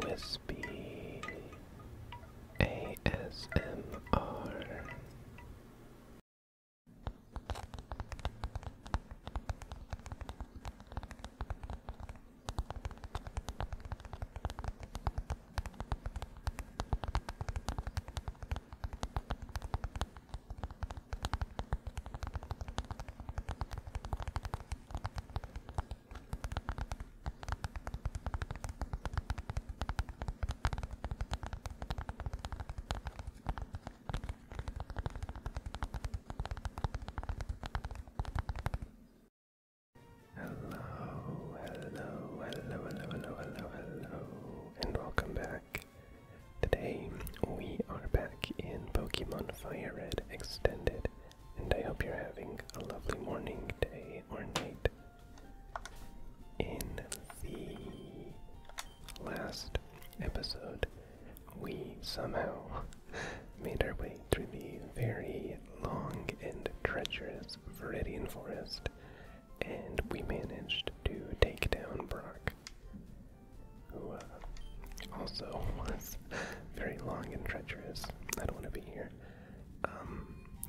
Whispy ASMR. Hello, hello, hello, hello, hello, hello, hello, and welcome back. Today we are back in Pokemon Fire Red Extended, and I hope you're having a lovely morning, day, or night. In the last episode, we somehow made our way through the very long and treacherous Veridian Forest, and we managed to take down Brock, who uh, also was very long and treacherous. I don't want to be here. Um,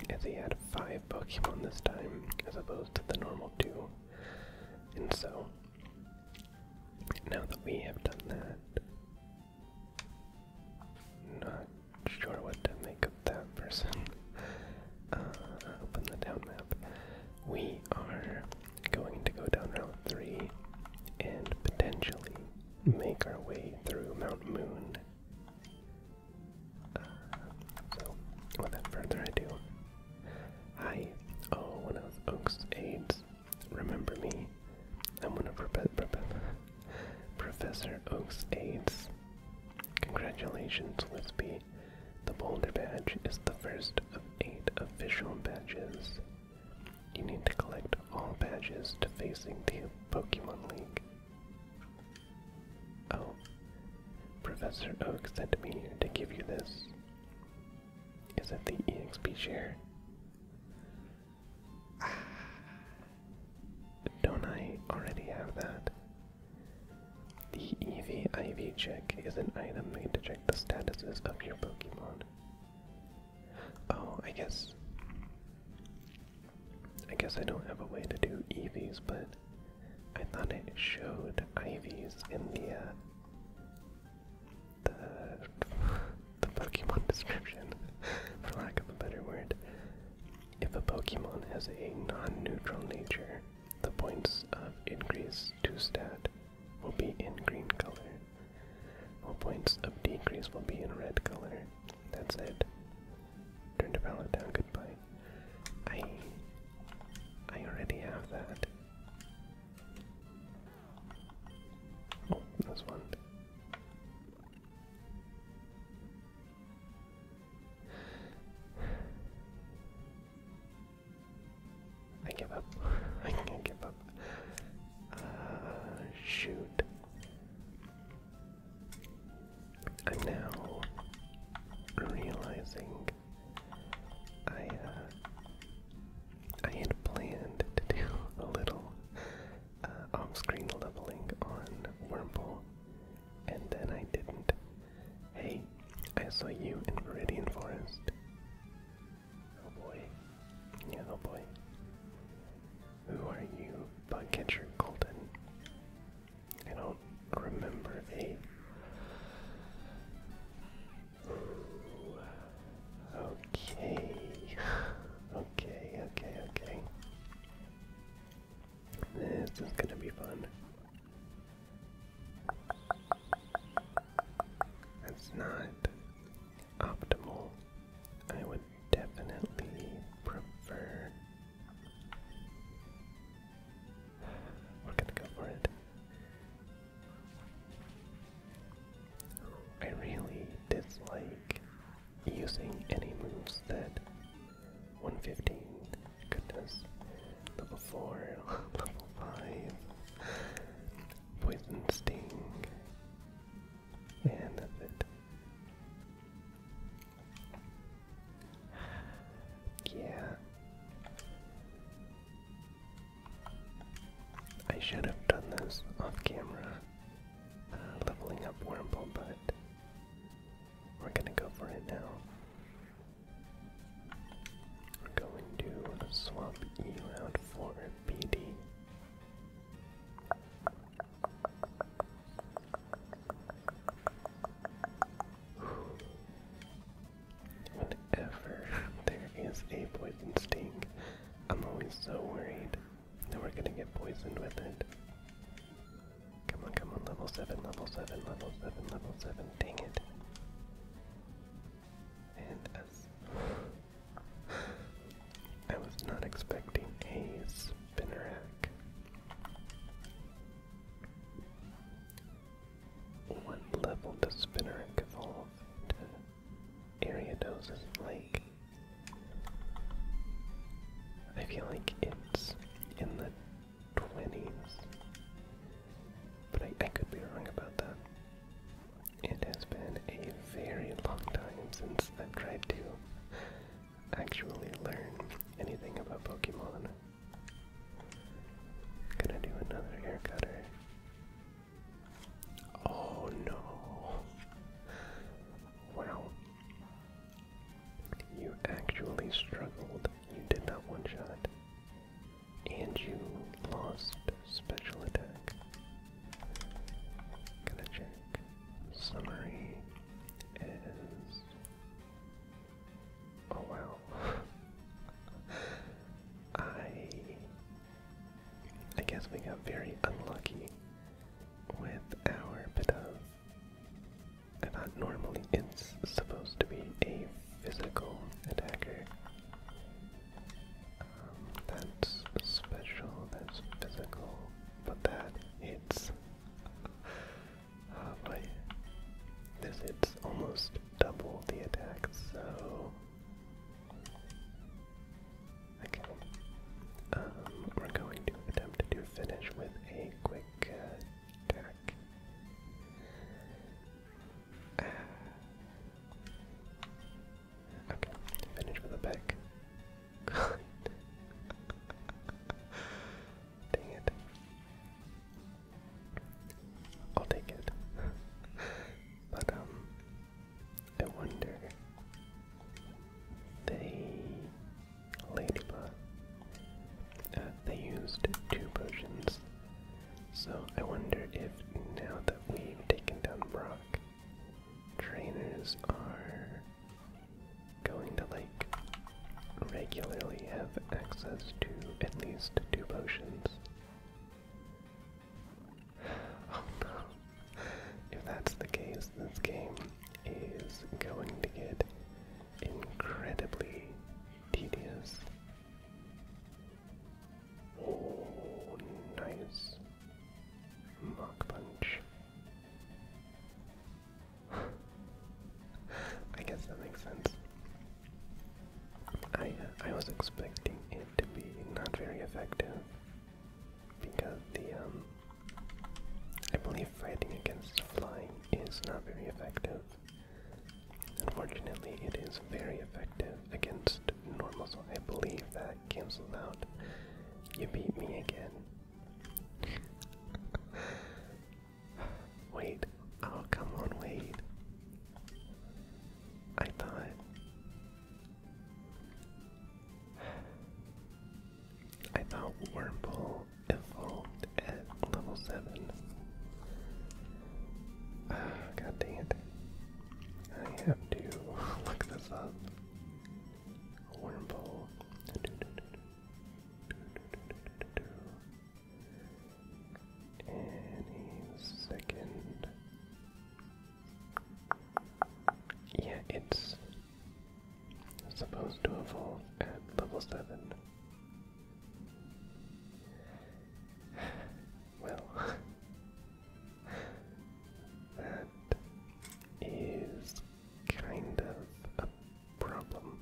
as he had five Pokemon this time, as opposed to the normal two. And so, now that we have done that, not sure what to make of that person. Uh, open the down map. We are going to go down Route 3 and potentially make our way through Mount Moon. Uh, so, without further ado, hi, oh, one of Oak's aides, remember me. I'm one of Prof Professor Oak's aides. Congratulations, Wispy. The Boulder Badge is the first of eight official badges you need to collect all badges to facing the Pokemon League. Oh, Professor Oak sent me to give you this. Is it the EXP share? Ah. Don't I already have that? The EV IV check is an item made to check the statuses of your Pokemon. Oh, I guess. I guess I don't have a way to do Eevees, but I thought it showed Ivies in the uh, the the Pokemon description, for lack of a better word. If a Pokemon has a non-neutral nature, the points of increase to stat will be in green color. All points of decrease will be in red color. That's it. Turn the pallet down, goodbye. I I already have that. Oh, this one. I give up. I can't give up. Uh, shoot. I'm now realizing I uh, I had planned to do a little uh, screen leveling on Wormhole, and then I didn't. Hey, I saw you in Viridian Forest. Oh boy. Yeah, oh boy. Who are you, bug catcher Golden? I don't remember a. Okay. okay, okay, okay. This is gonna be fun. That's not optimal. I would definitely prefer. We're gonna go for it. I really dislike using any moves that 115, goodness, level 4, level 5, poison sting, yeah. I should have done this off camera, uh, leveling up Wormble, but we're gonna go for it now. We're going to swap E out for BD. Whenever there is a poison sting, I'm always so worried that we're gonna get poisoned with it. Come on, come on, level 7, level 7, level 7, level 7, dang it. And us. I was not expecting a spinner What level does Spinnerack evolve to Ariados's Lake? I feel like it's in the 20s, but I could be wrong about that. It has been a very long time since I've tried to actually learn anything about Pokemon. Gonna do another hair cutter. Oh no! Wow. You actually struggled. You did not one shot. And you lost special attack. Gonna check. Summary is. Oh wow. I. I guess we got very unlucky with our bit of. I uh, thought normally it's supposed to be a physical attacker, that's special, that's physical, but that hits. Uh, this hits almost double the attack, so. Um, we're going to attempt to finish with a quick uh, attack. Ah. Okay, finish with a pick. Dang it. I'll take it. but, um, I wonder. They. Ladybug. Uh, they used two potions. So I wonder if now that we've taken down Brock, Trainers are going to like regularly have access to at least two potions. Oh no. If that's the case, this game is going to get incredibly tedious. Oh, nice. Rock punch. I guess that makes sense. I uh, I was expecting it to be not very effective because the um, I believe fighting against flying is not very effective. Unfortunately, it is very effective against normals. so I believe that that out. You beat me again. Wait. Oh, come on, wait. I thought. I thought Wormhole evolved at level 7. Oh, God it. I have to look this up. Wormhole. Any second. Yeah, it's supposed to evolve at level 7. Well, that is kind of a problem.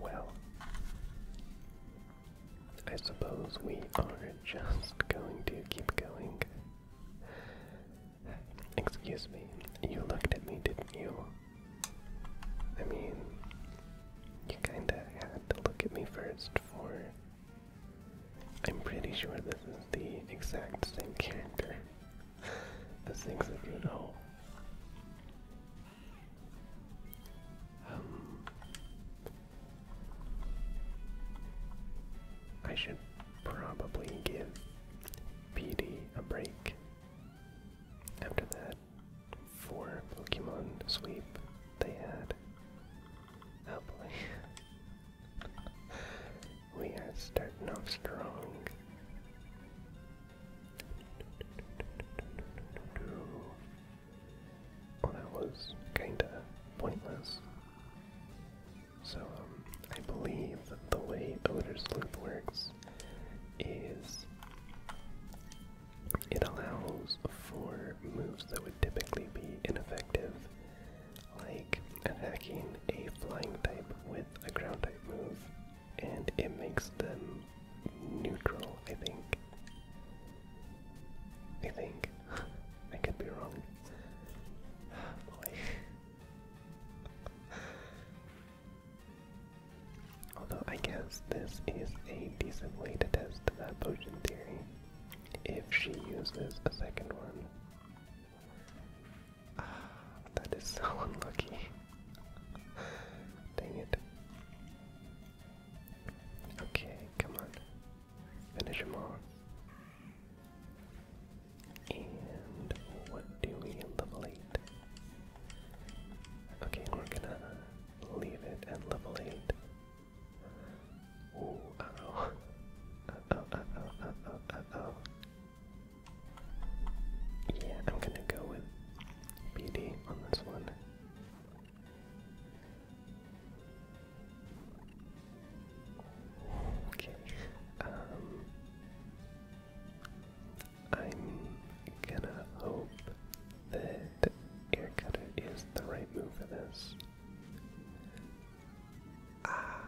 Well, I suppose we are just going to keep going. Excuse me, you looked at me, didn't you? I mean, you kinda had to look at me first for. I'm pretty sure this is the exact same character as things that you know. Um, I should probably give PD a break after that for Pokemon sweep they had. Oh we are starting off strong. Oh, that was kinda pointless. So, um, I believe that the way Odor's Loop works is it allows for moves that would typically be ineffective, like attacking a flying type with a ground type move and it makes them neutral, I think. I think. I could be wrong. Although I guess this is a decent way to test that potion theory. If she uses a second one. Ah, that is so unlucky. Dang it. Okay, come on. Finish him off. And what do we level 8? Okay, we're gonna leave it at level 8. Ooh, uh oh. Uh oh, uh oh, oh, oh. Yeah, I'm gonna go with BD on this one. Okay. Um I'm gonna hope that air cutter is the right move for this. Ah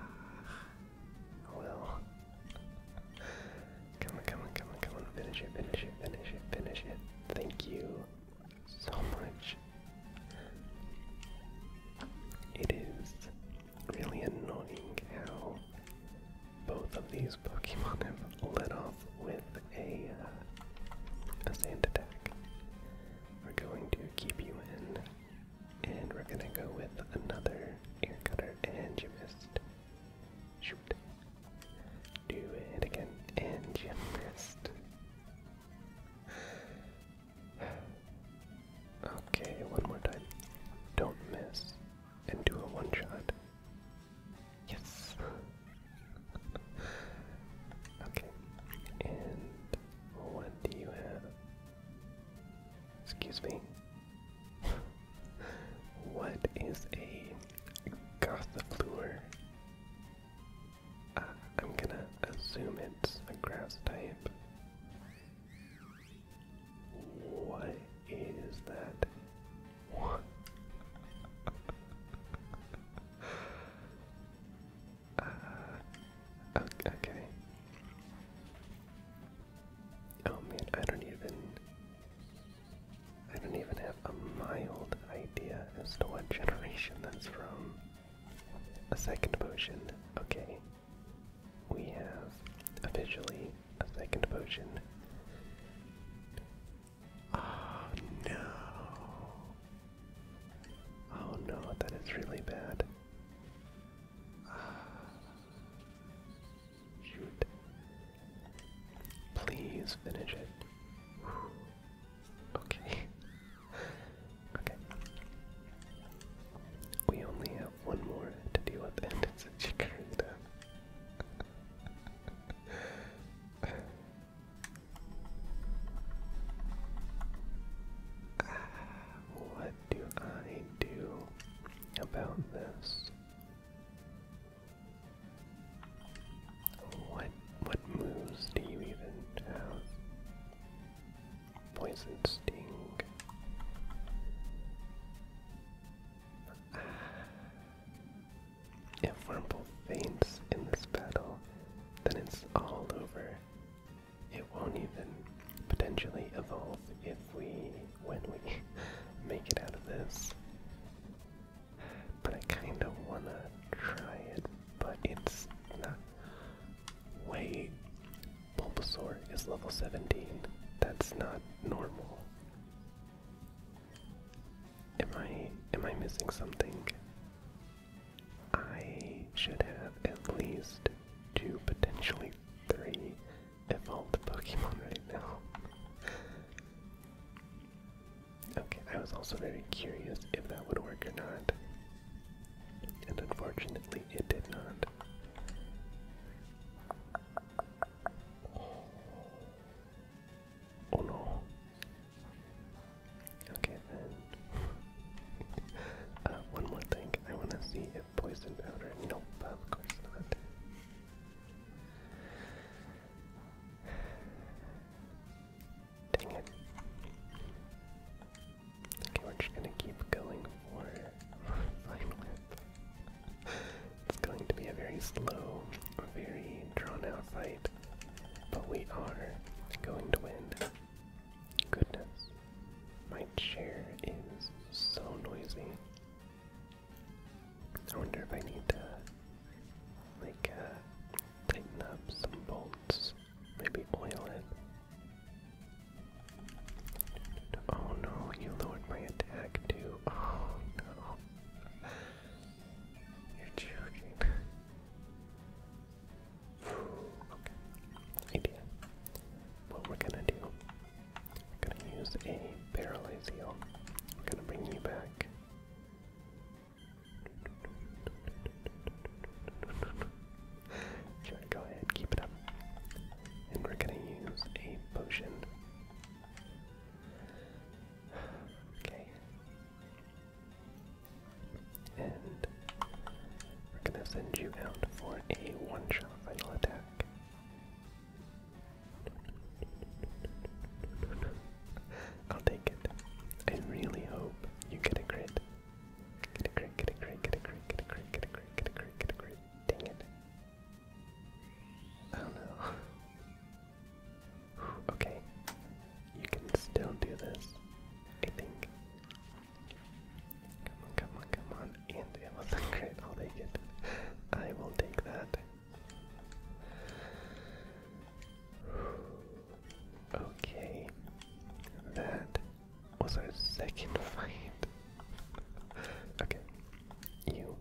well Come on, come on, come on, come on. Finish it, finish it, finish it, finish it. Thank you so much. It is really annoying how both of these Pokemon have let off with a, uh, a sand attack. We're going to keep you in, and we're going to go with another ear cutter, and you Shoot. Do it again. And you missed. Okay, one more time. Don't miss. And do a one shot. Yes! okay. And what do you have? Excuse me what is a gossifleur? Ah, I'm gonna assume it's a grass type. What is that? Ah, okay. Oh man, I don't even. I don't even have a mild idea as to what generation that's from. A second potion, okay. We have officially a second potion. Oh no. Oh no, that is really bad. Shoot. Please finish it. Okay. okay. We only have one more to deal with, and it's a Chikorita. Ah, what do I do about this? What what moves do you even have? Poison sting. Ah. If Wurmple faints in this battle, then it's all over. It won't even potentially evolve if we when we make it out of this. But I kind of want to try it, but it's not. Wait, Bulbasaur is level 17. That's not normal. Am I am I missing something? I should have at least two, potentially three Evolve the Pokemon right now. okay, I was also very curious if that would work or not. And unfortunately, it did not. Oh no. Okay, then. Uh, one more thing. I want to see if poison powder. No, of course not. Dang it. Okay, we're just gonna keep going for Fine It's going to be a very slow, very drawn out fight, but we are going to win. Goodness. My chair is so noisy. I wonder if I need to, like, uh, tighten up some bolts. Maybe oil it. Oh no, you lowered my attack too. Oh no. You're joking. okay. Idea. What we're gonna do I'm gonna use a paralyze I'm gonna bring you back. Sure, go ahead, keep it up. And we're gonna use a potion. Okay. And we're gonna send you out for a one-shot final attack. I'll take it. I really hope you get a crit. Get a crit, get a crit, get a crit, get a crit, get a crit, get a crit, get a crit. Dang it. Oh no. Okay. You can still do this, I think. Come on, come on, come on. And it was crit, I'll take it. I will take that. Okay, that was our second fight. okay, you.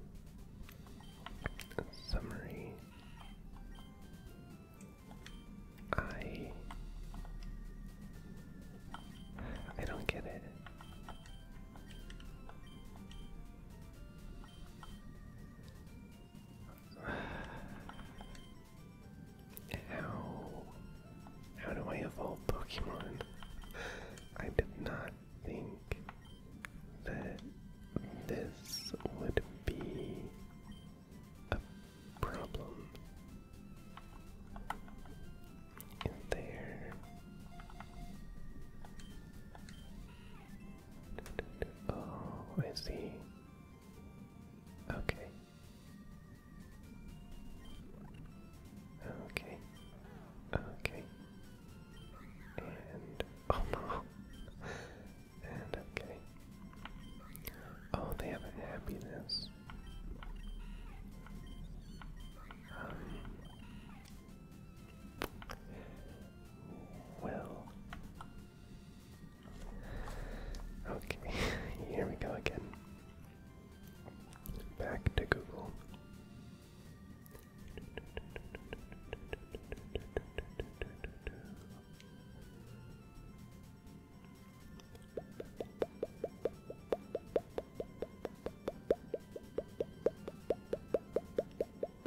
Summary. I. I don't get it. How how do I evolve Pokemon? I did not think that this would be a problem. Is there Oh, I see. Okay. Okay. Okay. And oh no. and okay. Oh, they have a happiness. Um, well. Okay, here we go again. Back to Google. Okay.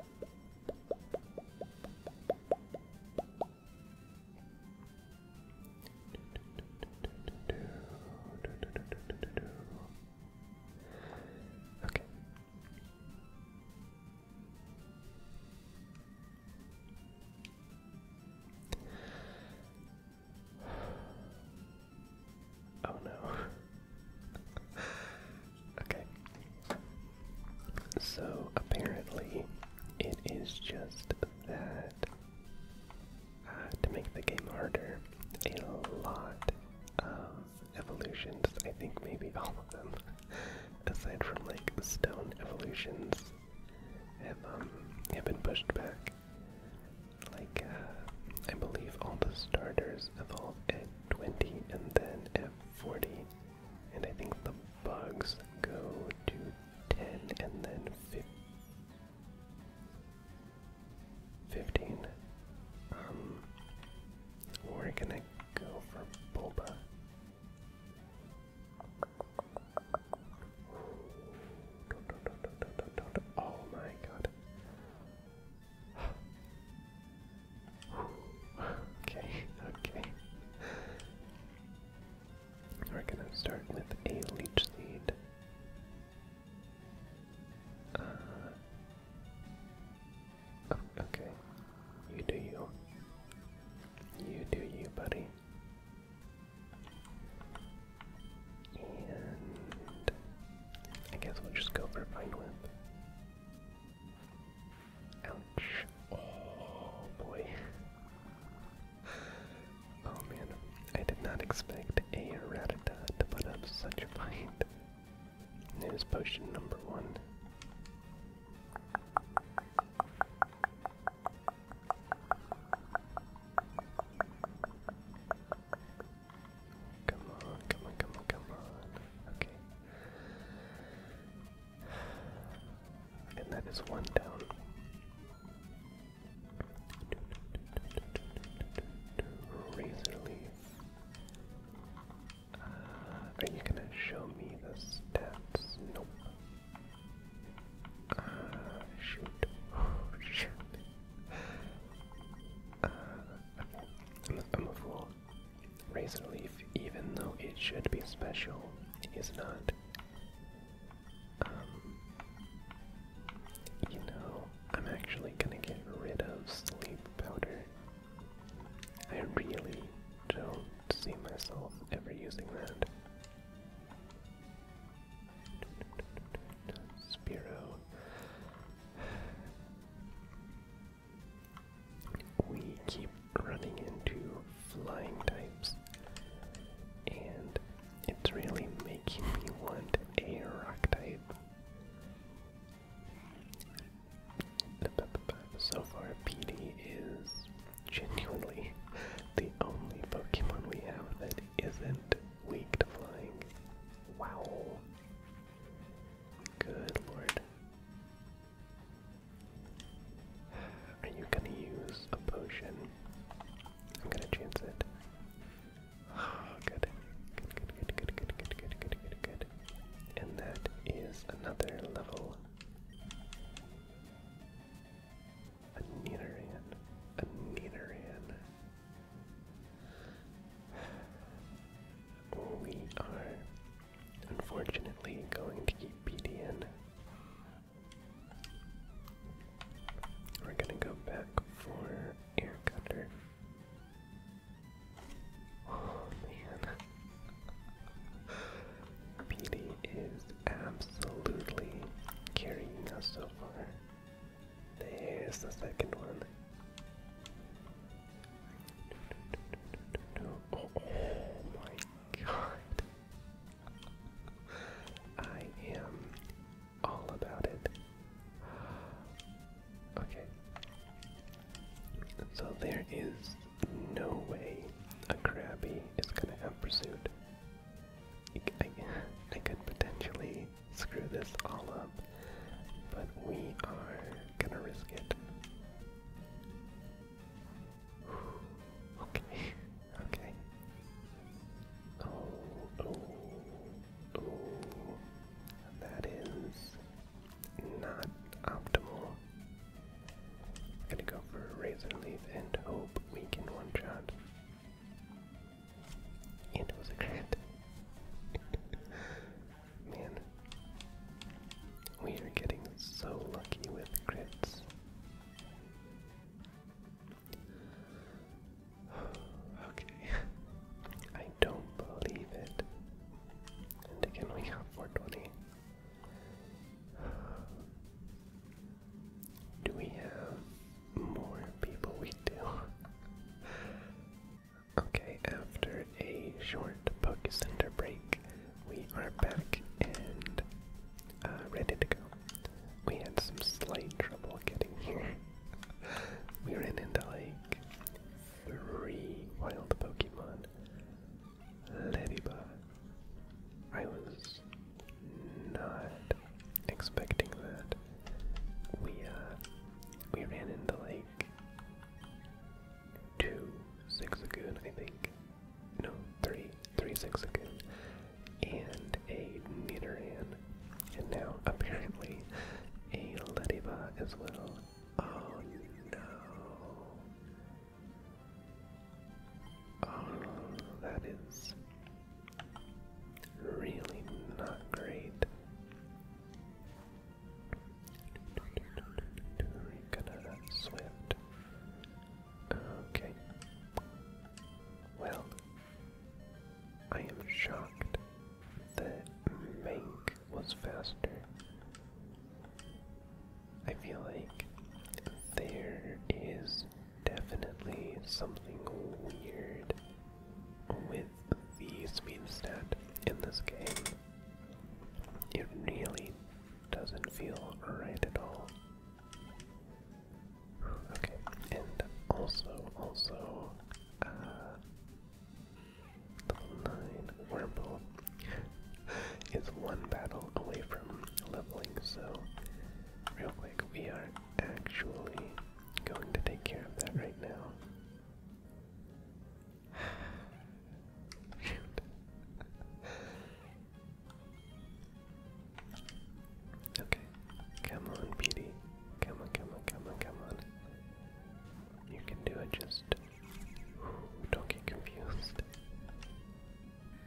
Oh no. okay. So apparently, it is just that uh, to make the game harder, a lot of evolutions, I think maybe all of them, aside from like stone evolutions, um, have, been pushed back. Like, uh, I believe all the starters evolved. 20 and then at 40. And I think the bugs go to 10 and then 15. Um, we're gonna go for Bulba. Oh my god okay, okay. We're gonna start with a leech seed. Uh, oh, okay. You do you. You do you, buddy. And I guess we'll just go for Pine Whip. Ouch. Oh boy. Oh man, I did not expect a Rattata to put up such a fight. News potion number one. Come on, come on, come on, come on. Okay. And that is one down. Razor leaf. Uh, are you gonna show me the stats? Nope. Uh, shoot. Oh, shoot. Uh, I'm, I'm a fool. Razor Leaf, even though it should be special, is not. Um, you know, I'm actually gonna get rid of sleep powder. I really don't see myself ever using that. Spiro we keep running into flying types, and it's really making me want a rock type. So far, PD is genuinely the only Pokemon we have that isn't weak to flying. Wow. Good lord. Are you gonna use a potion? I'm gonna chance it. Oh, good. Good, good, good, good, good, good, good, good, good, good. And that is another level. A Nidoran. A Nidoran we are unfortunately going to keep BDN. We're gonna go back for air cutter. Oh man. PD is absolutely carrying us so far. There's the second one. Oh, my god. I am all about it. Okay. So there is no way a Krabby is gonna have pursuit. I could potentially screw this all up, but we are gonna risk it. Okay, okay. Oh, oh, oh. That is not optimal. gonna go for razor leaf and hope we can one shot. And it was Man, we are getting so lucky with crits. okay, I don't believe it. And again, we got 420. Do we have more people? We do. Okay, after a short Poke Center break, we are back and uh, ready to go. We had some slight trouble getting here. we ran into like three wild Pokemon. Leviba. I was not expecting that. We uh we ran into like two six Zigzagoon, I think. No, three three six Three Zigzagoon. And a Nidoran. And now, apparently, a Lediva as well. Oh no. Oh, that is really not great we swift. Okay. Well, I am shocked that Mank was faster. I feel like there is definitely something weird with the speed stat in this game. It really doesn't feel right at all. Okay, and also, also, uh, level 9 Wormhole is one battle away from leveling, so real quick, we are actually going to take care of that right now. Okay. Come on, Petey. Come on, come on, come on, come on. You can do it, just don't get confused.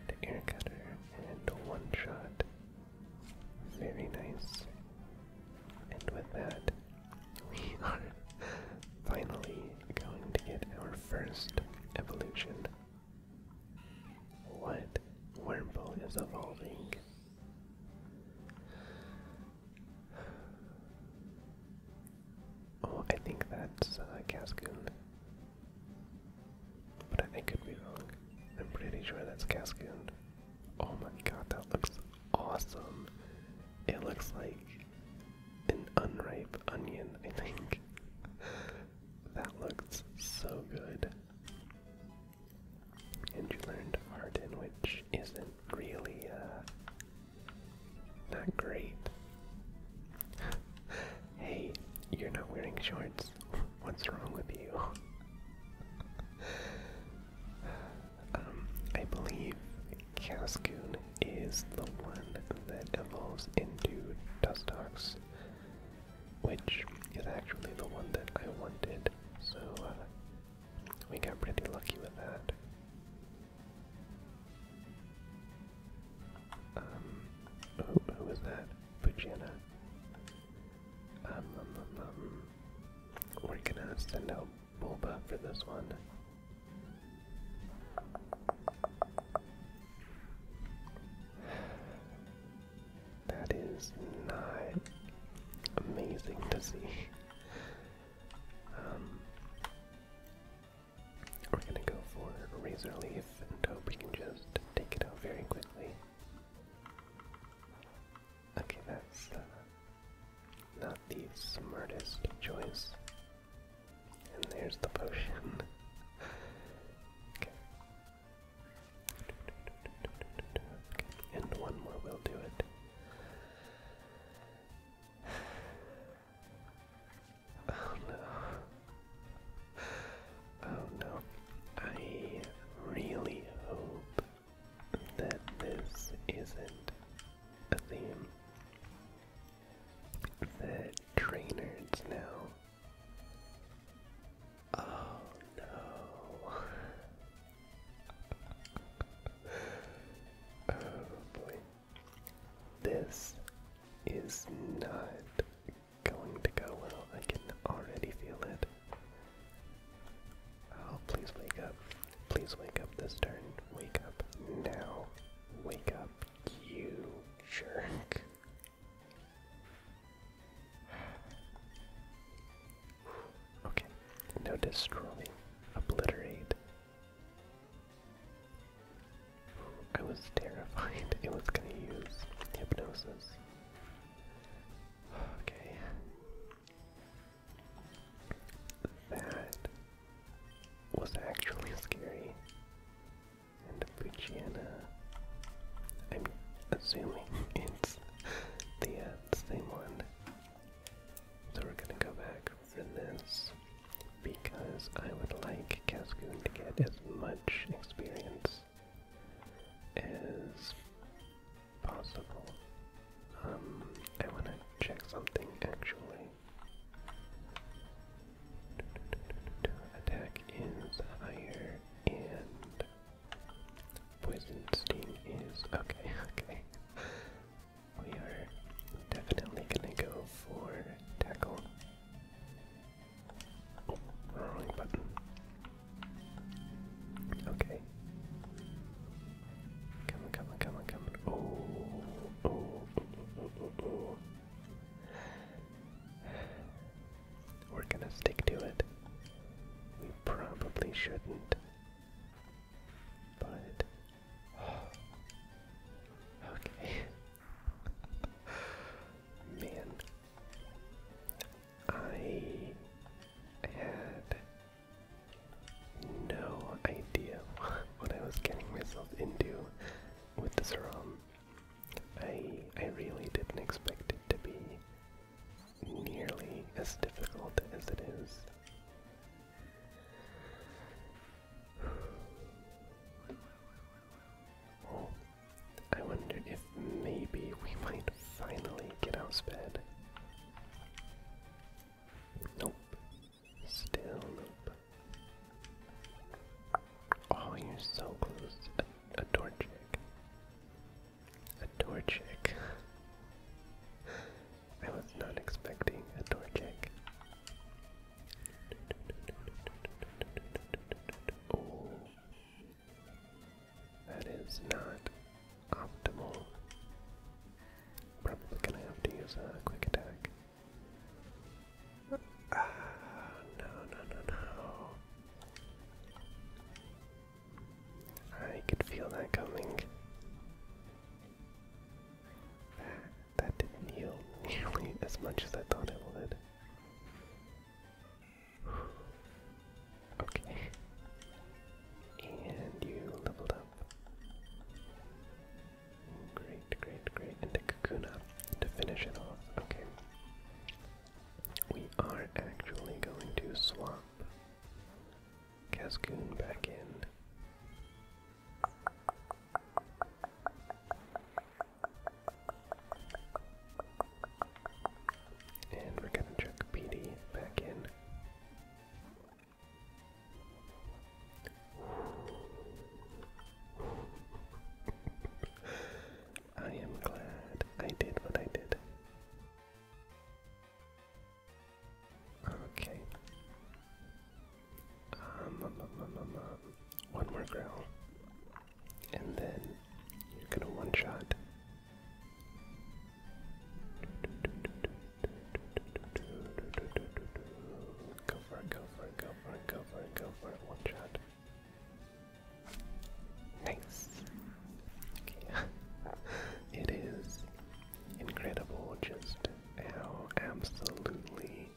The air cutter and one shot. Very nice. And with that, we are finally going to get our first evolution. What wormhole is evolving? Oh, I think that's uh, Cascoon. But I could be wrong. I'm pretty sure that's Cascoon. Oh my god, that looks awesome. It looks like an unripe onion, I think. that looks so good. And you learned art, Arden, which isn't really, uh, not great. hey, you're not wearing shorts. What's wrong with you? Um, I believe Cascoon is the one that evolves into Dustox, which is actually the one that I wanted, so uh, we got pretty lucky with that. Um, who, was that? Pujana. Um, um, we're gonna send out Bulba for this one. That is not amazing to see. Um, we're gonna go for Razor Leaf and hope we can just take it out very quickly. Okay, that's uh, not the smartest choice. And there's the potion. okay. And one more will do it. Oh no. Oh no. I really hope that this isn't a theme. The trainers now. Oh no. oh boy. This is not going to go well. I can already feel it. Oh, please wake up. Please wake up this turn. Wake up now. Wake up, you jerk. Okay, no destroy, obliterate. I was terrified it was gonna use hypnosis. Okay. That was actually scary. And Fujiana, I'm assuming it's the, uh, same one. So we're gonna go back for this because I would like Cascoon to get as much experience as possible. Um, I want to check something actually. Attack is higher and poison sting is okay, okay. We are definitely gonna go for tackle. wrong button. Okay. Come on, come on, come on, come on. We're gonna stick to it. We probably shouldn't. But. Okay. Man. I had no idea what I was getting myself into with this ROM. I I really didn't expect it to be nearly as difficult as it is. Oh, I wonder if maybe we might finally get out of bed. Nope, Still loop. Oh, you're so close. A, a door check. A door check. I was not expecting a door check. Oh. That is not optimal. Probably gonna have to use a quick attack. Ah, no, no, no, no. I could feel that coming. That, that didn't heal nearly as much as I thought it would. Okay. And you leveled up. Great, great, great. And the Kakuna to finish it off. Okay. We are actually going to swap Cascoon back in. And we're gonna check PD back in. I am glad I did what I did. Okay. Um, um, um, one more growl. And then you're gonna one shot. Go for it, go for one shot. Nice. Okay. it is incredible just how absolutely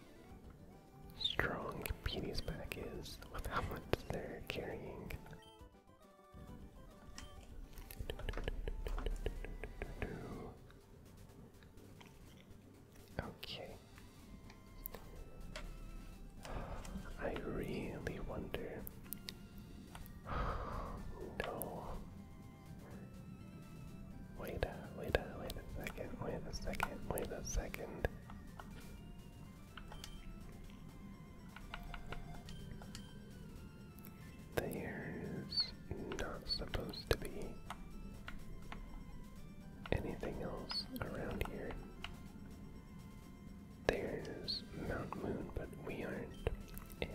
strong Petey's back is with how much they're carrying. Okay. I really wonder. no. Wait a wait a wait a second, wait a second, wait a second. There's not supposed to be anything else around here. There's Mount Moon, but we aren't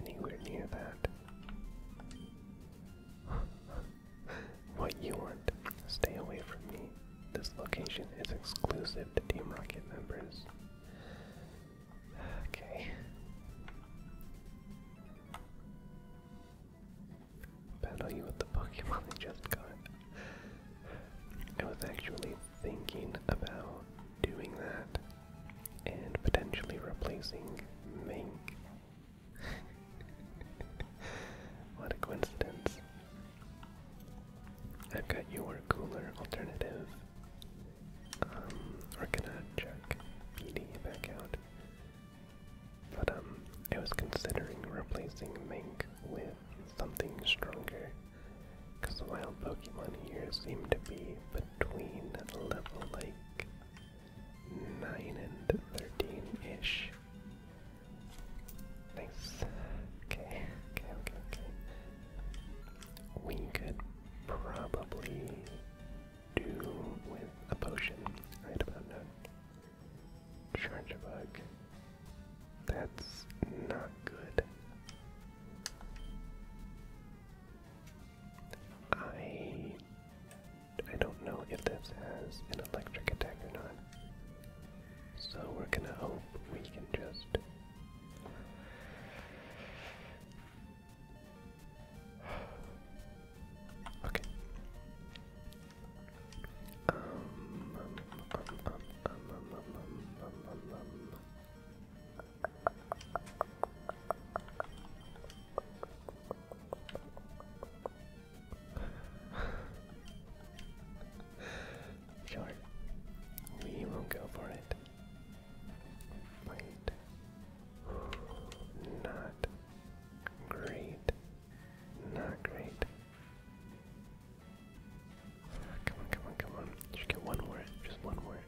anywhere near that. what you want? Stay away from me. This location is exclusive to Team Rocket members. Okay. Battle you with the Pokemon they just got. I was actually thinking about doing that and potentially replacing Mink. what a coincidence. I've got your cooler alternative. Um, we're gonna check PD back out. But um, I was considering replacing Mink with something stronger, because the wild Pokemon here seem to be between level like 9 and 13 ish. Nice. Okay, okay, okay, okay. We could probably do with a potion right about now. Charge a bug. That's not good. I I don't know if this has an electric attack or not. So we're gonna hope we can just Okay. Um, um, um, um, um, um, um, um, um, um. sure, we will go for it. Wait, not Great. Not great. Come on, come on, come on. Just get one more. Just one more.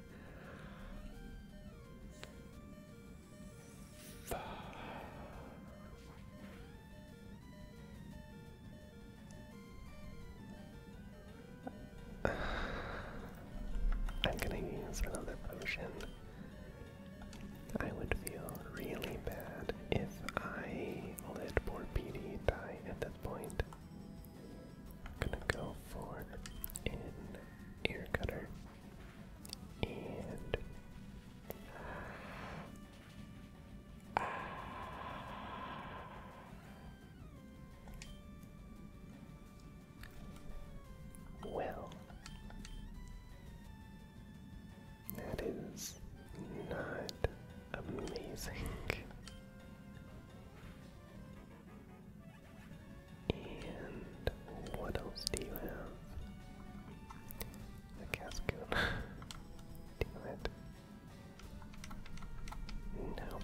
I'm gonna use another potion. I would feel really bad if I let poor Petey die at that point. gonna go for an ear cutter. And well, that is not amazing. And what else do you have? The Cascoon. Damn it. No,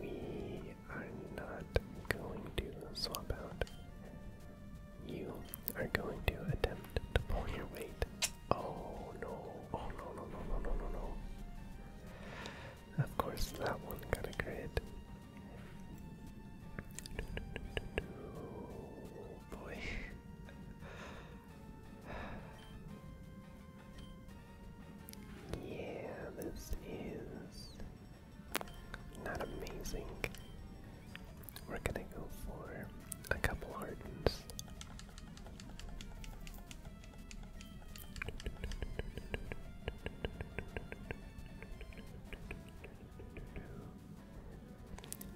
we are not going to swap out you are going to attempt to pull your weight. Oh no, oh no, no, no, no, no, no, Of course, that one got a crit. Oh, boy. yeah, this is not amazing. We're gonna go for a couple hardens.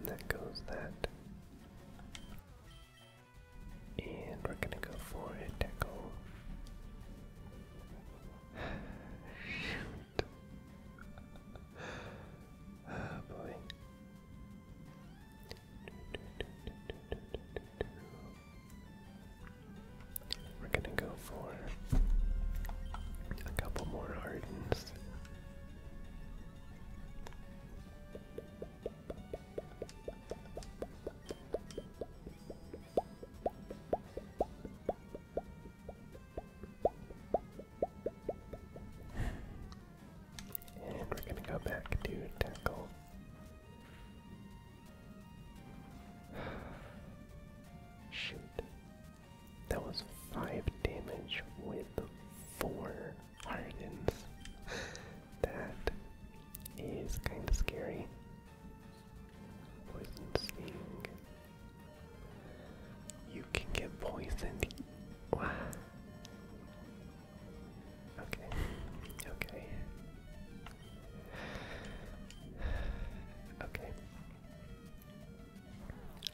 that goes that. And we're gonna go for a tackle. Oh boy. We're gonna go for a couple more Ardens. And we're gonna go back to tackle. Shoot. That was five damage with four hardens. that is kind of scary. Poison sting. You can get poisoned. okay, okay, okay.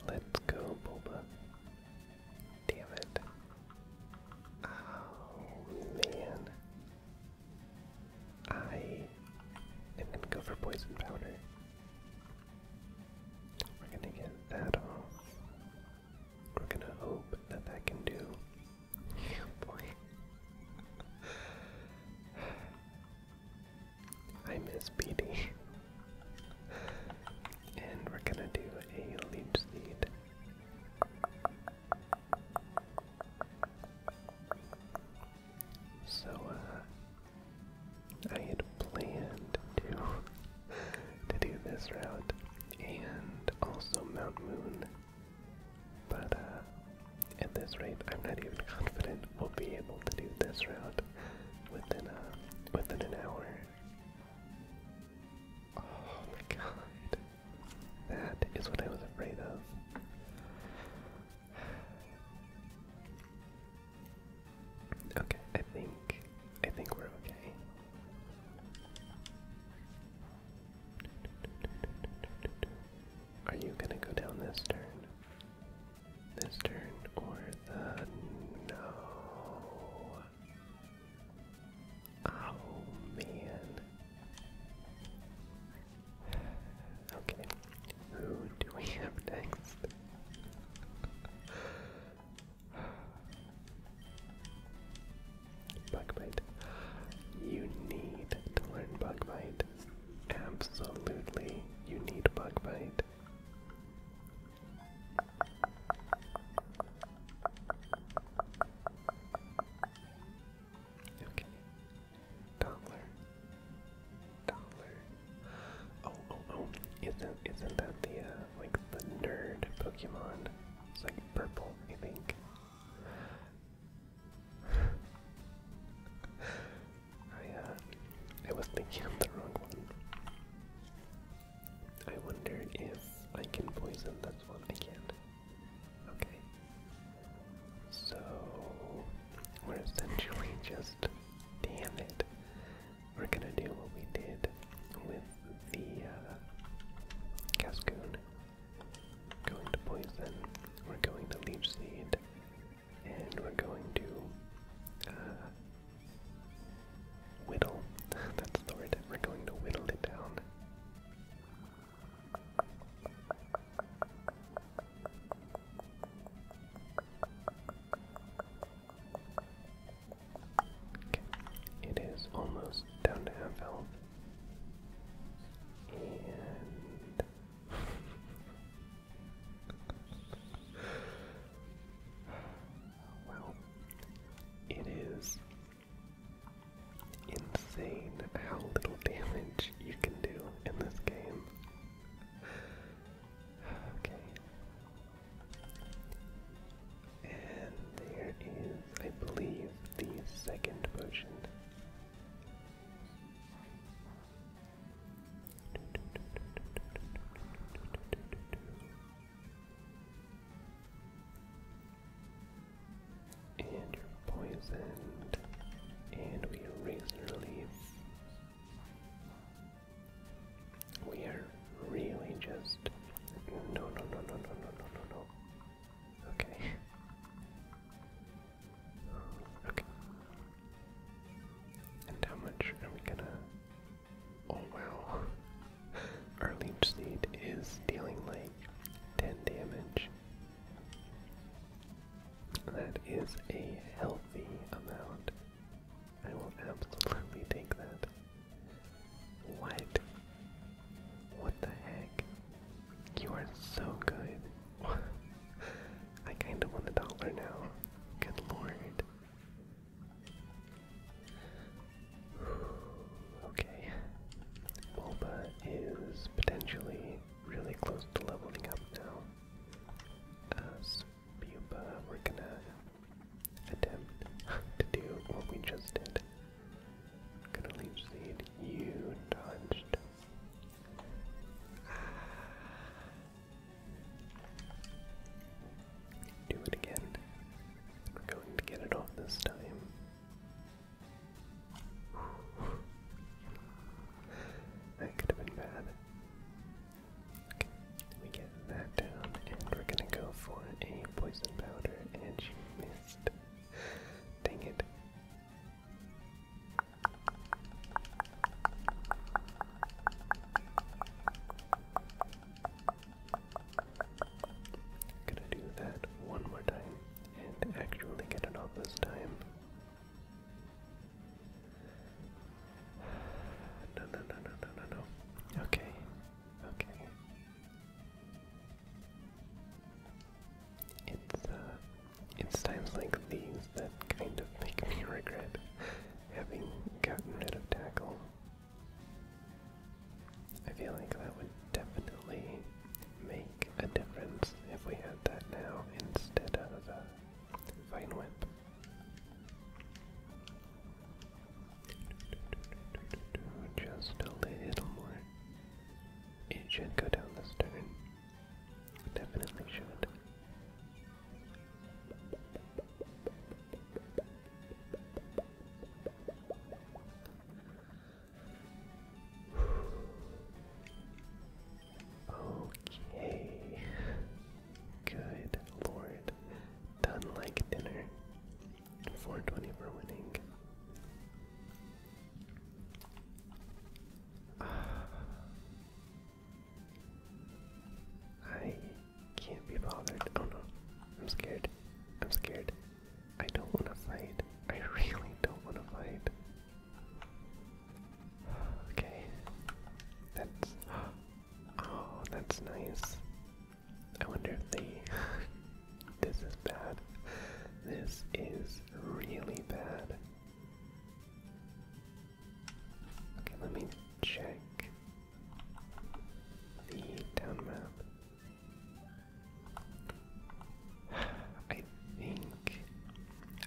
Let's go, Boba. Damn it. Oh man. I am gonna go for poison powder. We're gonna get that off. We're gonna hope that that can do. boy. I miss Petey. and we're gonna do a leech seed. So, uh, I had planned to to do this route and also Mount Moon, but uh, at this rate, I'm not even confident we'll be able to do this route within uh, within an hour. Oh my god, that is what I was afraid of. Okay, I think I think we're okay. Are you gonna go down this turn? This turn or the no? Oh man. Okay, who do we have next? bite. You need to learn bug bite. Absolutely, you need Bugmite. Okay. Toddler. Dollar. Oh, oh, oh! Isn't isn't that the uh, like the nerd Pokemon? It's like purple, I think. I uh, I was thinking of the wrong one. I wonder if I can poison this one. I can. Okay. So we're essentially just Damn it. We're gonna do what we did with the uh, Cascoon. Going to Poison, we're going to Leech Seed, and we're going to uh, whittle. That's the word. We're going to whittle it down. It is almost down to half health. And well, it is insane how little damage you can do in this game. Okay. And there is, I believe, the second potion. And you're poisoned. And we erase your leaves. We are really just. No, no, no, no, no, no, no, no, no. Okay. Um, okay. And how much are we gonna. Oh wow. Our leech is dealing like 10 damage. That is a healthy amount. I will absolutely take that. What? What the heck? You are so good. I kind of want a dollar now. Good lord. Okay. Bulba is potentially really close to leveling up now. Uh, Pupa, we're gonna attempt to do what we just did. gonna leave You dodged. Do it again. We're going to get it off this time. That could have been bad. Okay, we get that down, and we're gonna go for a poison powder, and she missed. Dang it. Gonna do that one more time and actually get it off this time. No, no, no, no, no, no, no. Okay, okay. It's uh, it's times like these that kind of make me regret having gotten rid of tackle. I feel like that would definitely make a difference if we had that now instead of a uh, fine whip. Just a little more. It should go down the turn. Definitely should. Okay. Good lord. Done like dinner. 420 for winning. I can't be bothered. Oh no. I'm scared. I'm scared. I don't want to fight. I really don't want to fight. Okay. That's. Oh, that's nice. I wonder if they. this is bad. This is really bad. Okay, let me check the town map. I think.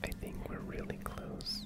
I think we're really close.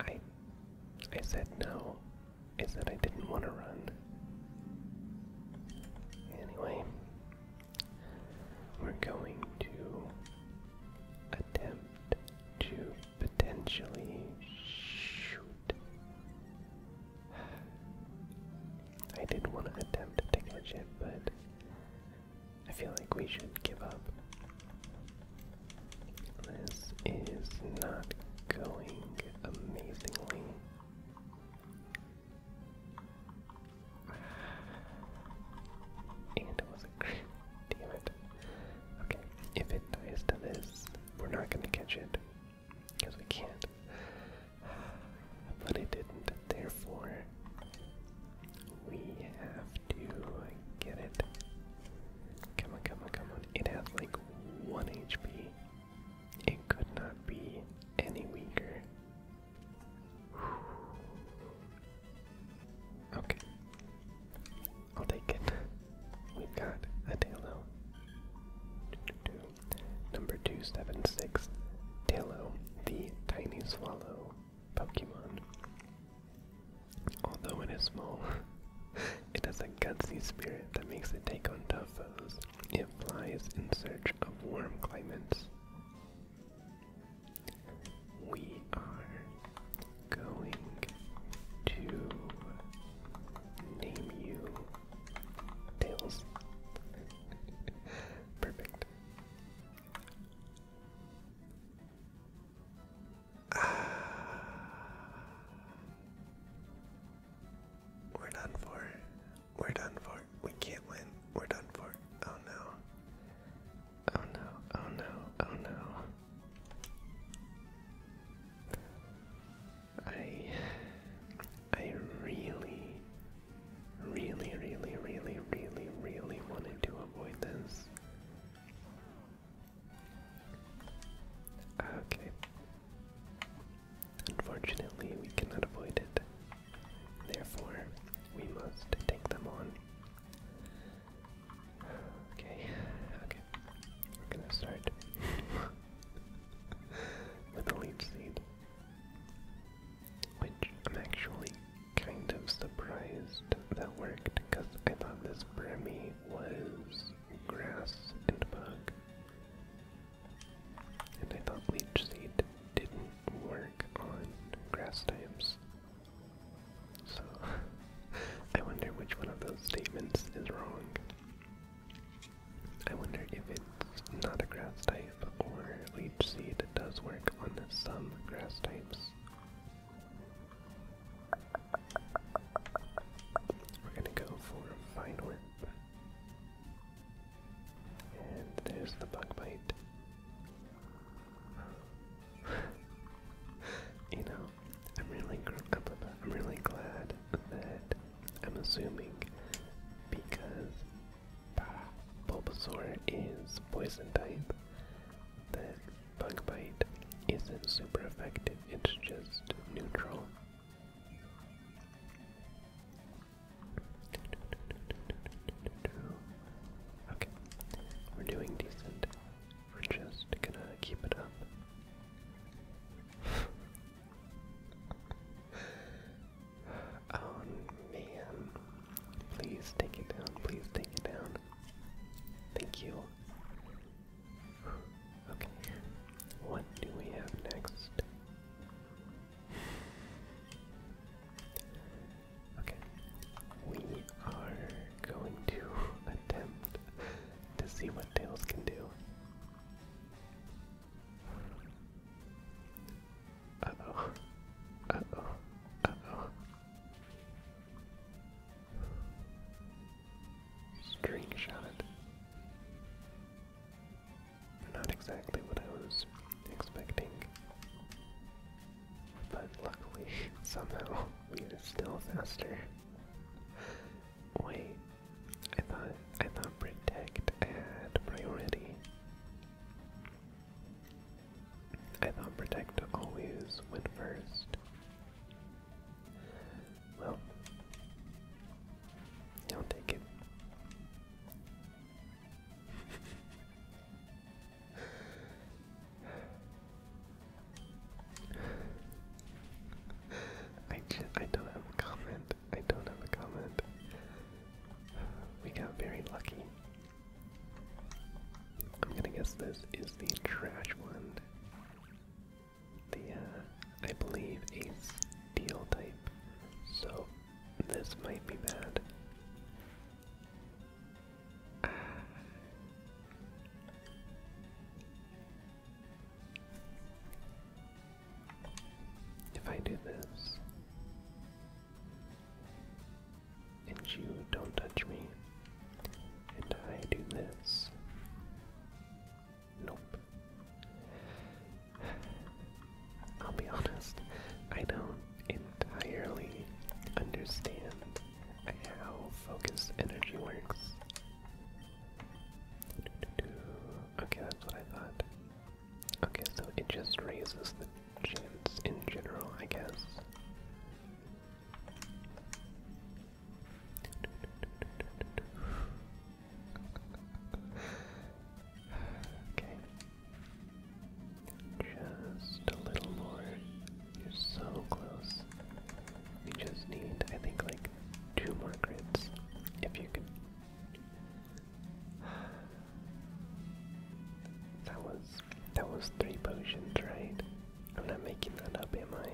I I said no. I said I didn't want to run. Anyway, we're going to attempt to potentially shoot. I did not want to attempt to take a shot, but I feel like we should give up. This is not going amazingly. And it was a damn it. Okay, if it dies to this, we're not gonna catch it. Because we can't. But it didn't. Therefore, we have to get it. Come on, come on, come on. It has like 1 HP. It could not be any weaker. Okay. I'll take it. We've got a Talo. Number 276. Talo, the tiny swallow Pokemon. Although it is small, it has a gutsy spirit that makes it take on tough foes. It flies in search of warm climates. We are going to name you Tails. Perfect. We're done for. We're done for. We can't win. We're done for. Oh no. Oh no. Oh no. Oh no. I I really really really really really really wanted to avoid this. Okay. Unfortunately, we cannot avoid it. Therefore, we must take them on. Okay, okay. We're gonna start with a leaf seed, which I'm actually kind of surprised that worked because I thought this Bremy was grass and bug. And I thought Leech Seed didn't work on grass types. So I wonder which one of those statements is wrong. I wonder if it's not a grass type or Leech Seed does work on some grass types. We're gonna go for a fine whip. And there's the bug bite. you know, I'm really, I'm really glad that I'm assuming because Bulbasaur is poison type that Bug Bite isn't super effective, it's just neutral. Okay, we're doing decent. We're just gonna keep it up. oh man. Please take it down, please take it down. Thank you. Okay, what do we have next? Okay, we are going to attempt to see what Tails can do. Uh oh. Uh oh. Uh oh. Screenshotted. Not exactly what I was expecting. But luckily, somehow, we are still faster. Wait, I thought I thought protect had priority. I thought Protect always went first. Well, don't take it. I, just, I don't have a comment. I don't have a comment. We got very lucky. I'm gonna guess this is the trash one. The, uh, I believe a steel type. So, this might be bad. If I do this, and you don't touch me, and I do this. Nope. I'll be honest, I don't entirely understand how focus energy works. Okay, that's what I thought. Okay, so it just raises the chance in general, I guess okay. Just a little more. You're so close. We just need, I think, like two more crits. If you can. That was that was three potions, right? I'm not making that up, am I?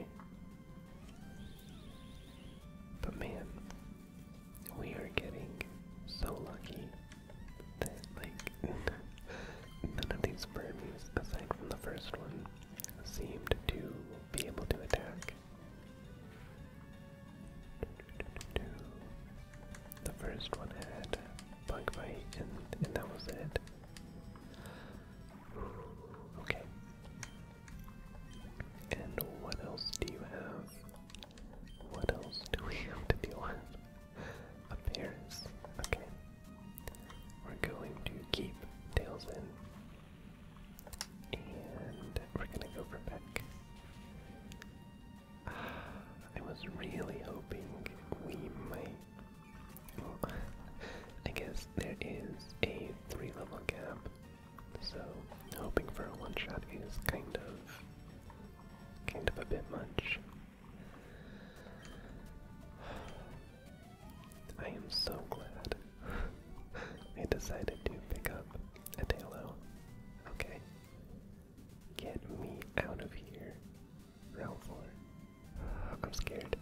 But man, we are getting so lucky that, like, none of these Burmese, aside from the first one, seemed to be able to attack. The first one had bug bite, end, and that was it. Okay. And what else do you have? What else do we have to deal with? A Paris. Okay. We're going to keep Tails in. And we're gonna go for back. I was really hoping we might I guess there is a three level gap, so hoping for a one shot is kind of kind of a bit much. I am so glad I decided to pick up a Talo. Okay. Get me out of here round four. Uh, I'm scared.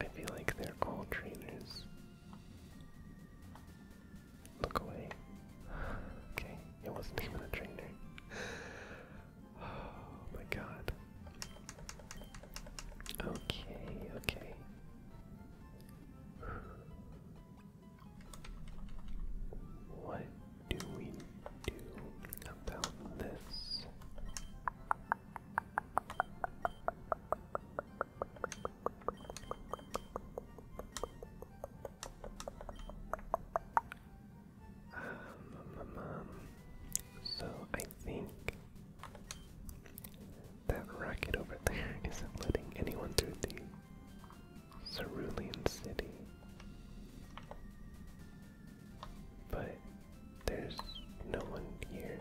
I feel like they're all trainers. Look away. Okay, it wasn't even a trainer. Oh my god. Okay, okay. What do we do about this? Um, so I think that racket over there isn't letting anyone through the Cerulean City. But there's no one here.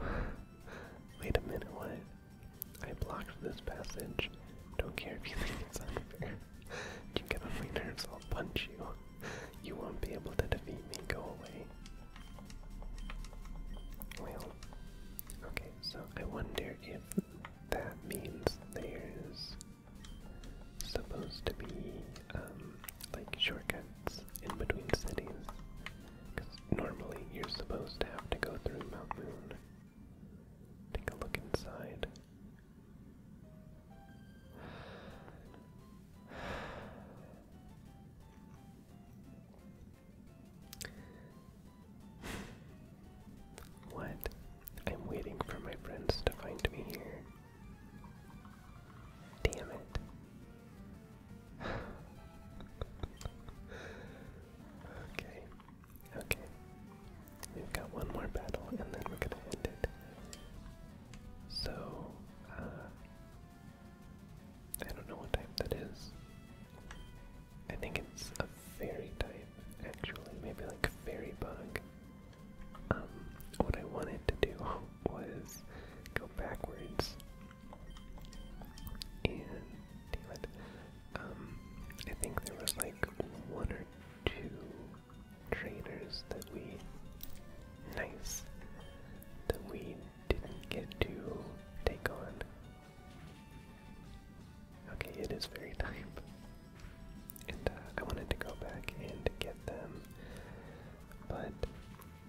Wait a minute, what? I blocked this passage. Don't care if you think it's unfair. you get on my nerves, I'll punch you. You won't be able to defeat me, go away. okay, so I wonder if that means there's supposed to be um, like shortcuts in between cities. Because normally you're supposed to have to go through Mount Moon. Take a look inside. What? I'm waiting for my friends to find me here. Damn it. okay. Okay. We've got one more battle and then we're gonna end it. So, uh, I don't know what type that is. I think it's fairy type, actually, maybe like a fairy bug. Um, what I wanted to do was go backwards, and um, I think there was like one or two trainers that we nice that we didn't get to take on. Okay, it is very time, And uh, I wanted to go back and get them, but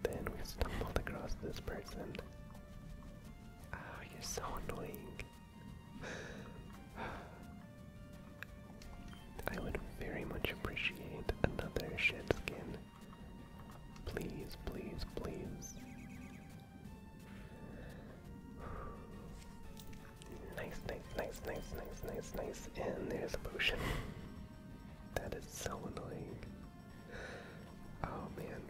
then we stumbled across this person. Oh, you're so annoying. I would very much appreciate another shed skin. Please, please, please. Nice, nice, nice, nice, nice, nice, nice. And there's a potion. that is so annoying. Oh man,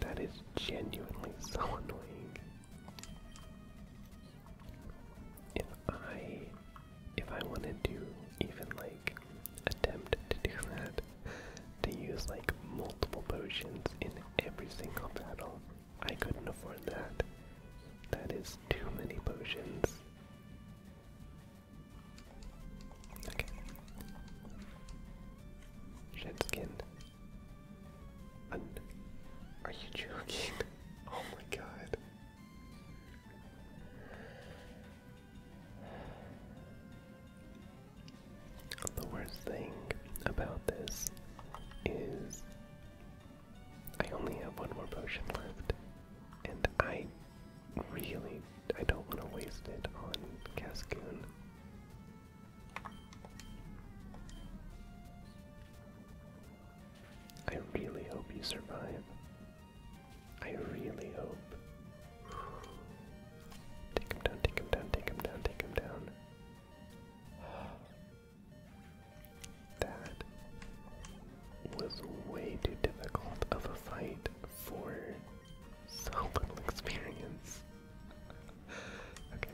that is genuinely so annoying. If I if I wanted to even like attempt to do that, to use like multiple potions in every single battle, I couldn't afford that. That is too many potions. Okay. Shed Are you joking? oh my god. The worst thing about this is I only have one more potion left, and I really I don't want to waste it on Cascoon. I really hope you survive. I really hope. Take him down, take him down, take him down, take him down. That was way too difficult of a fight for so little experience. okay.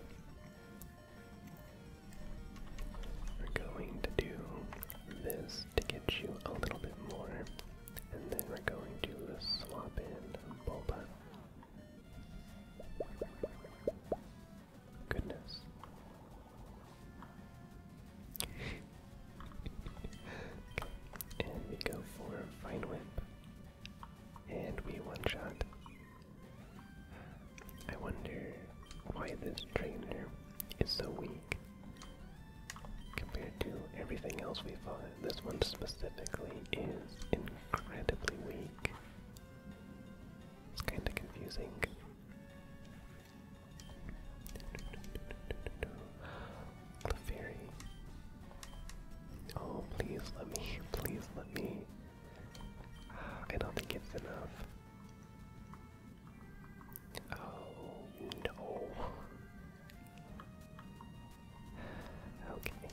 We're going to do this to get you a little bit more, and then we're going to swap in Bulba. Goodness. And we go for Fine Whip. And we one shot. I wonder why this trainer is so weak compared to everything else we fought. This one specifically is incredibly weak. It's kind of confusing. Clefairy. Oh, please let me. Please let me. Ah, I don't think it's enough. Oh, no. Okay.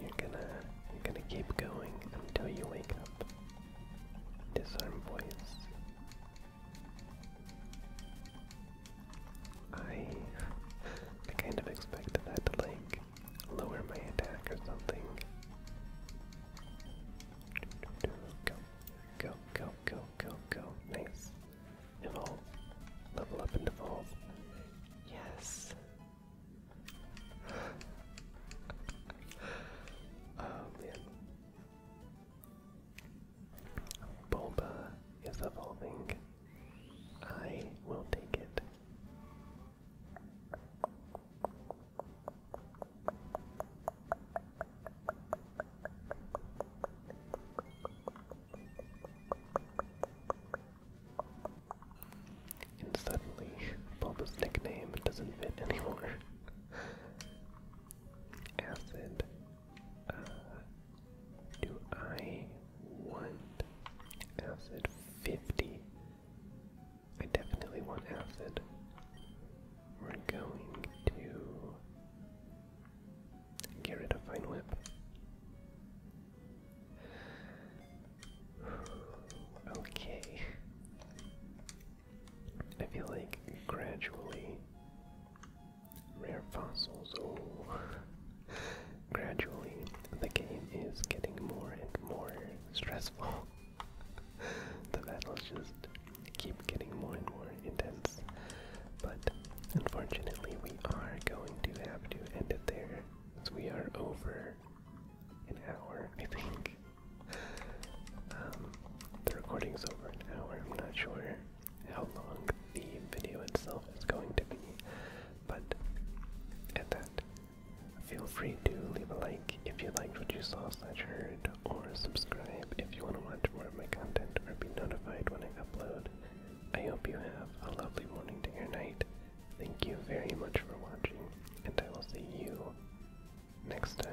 You're gonna you're gonna keep going until you wake up. Disarm voice. I I kind of expected that to like lower my attack or something. Go, go, go, go, go, go. Nice. Evolve. Level up and evolve. Yes oh man. Bulba is evolving. I will take it. And suddenly, Bulba's nickname doesn't fit anymore. Acid. Uh, do I want acid 50? I definitely want acid. We're going to get rid of Fine Whip. Okay. I feel like gradually rare fossils. Oh, gradually the game is getting more and more stressful. the battles just keep getting more and more intense. But unfortunately, we are going to have to end it there. As we are over an hour, I think. Um, the recording's over an hour. I'm not sure how long the video itself is going to be, but at that, feel free to leave a like if you liked what you saw slash heard, or subscribe if you want to watch more of my content or be notified when I upload. I hope you have a lovely morning, day, or night. Thank you very much for watching, and I will see you next time.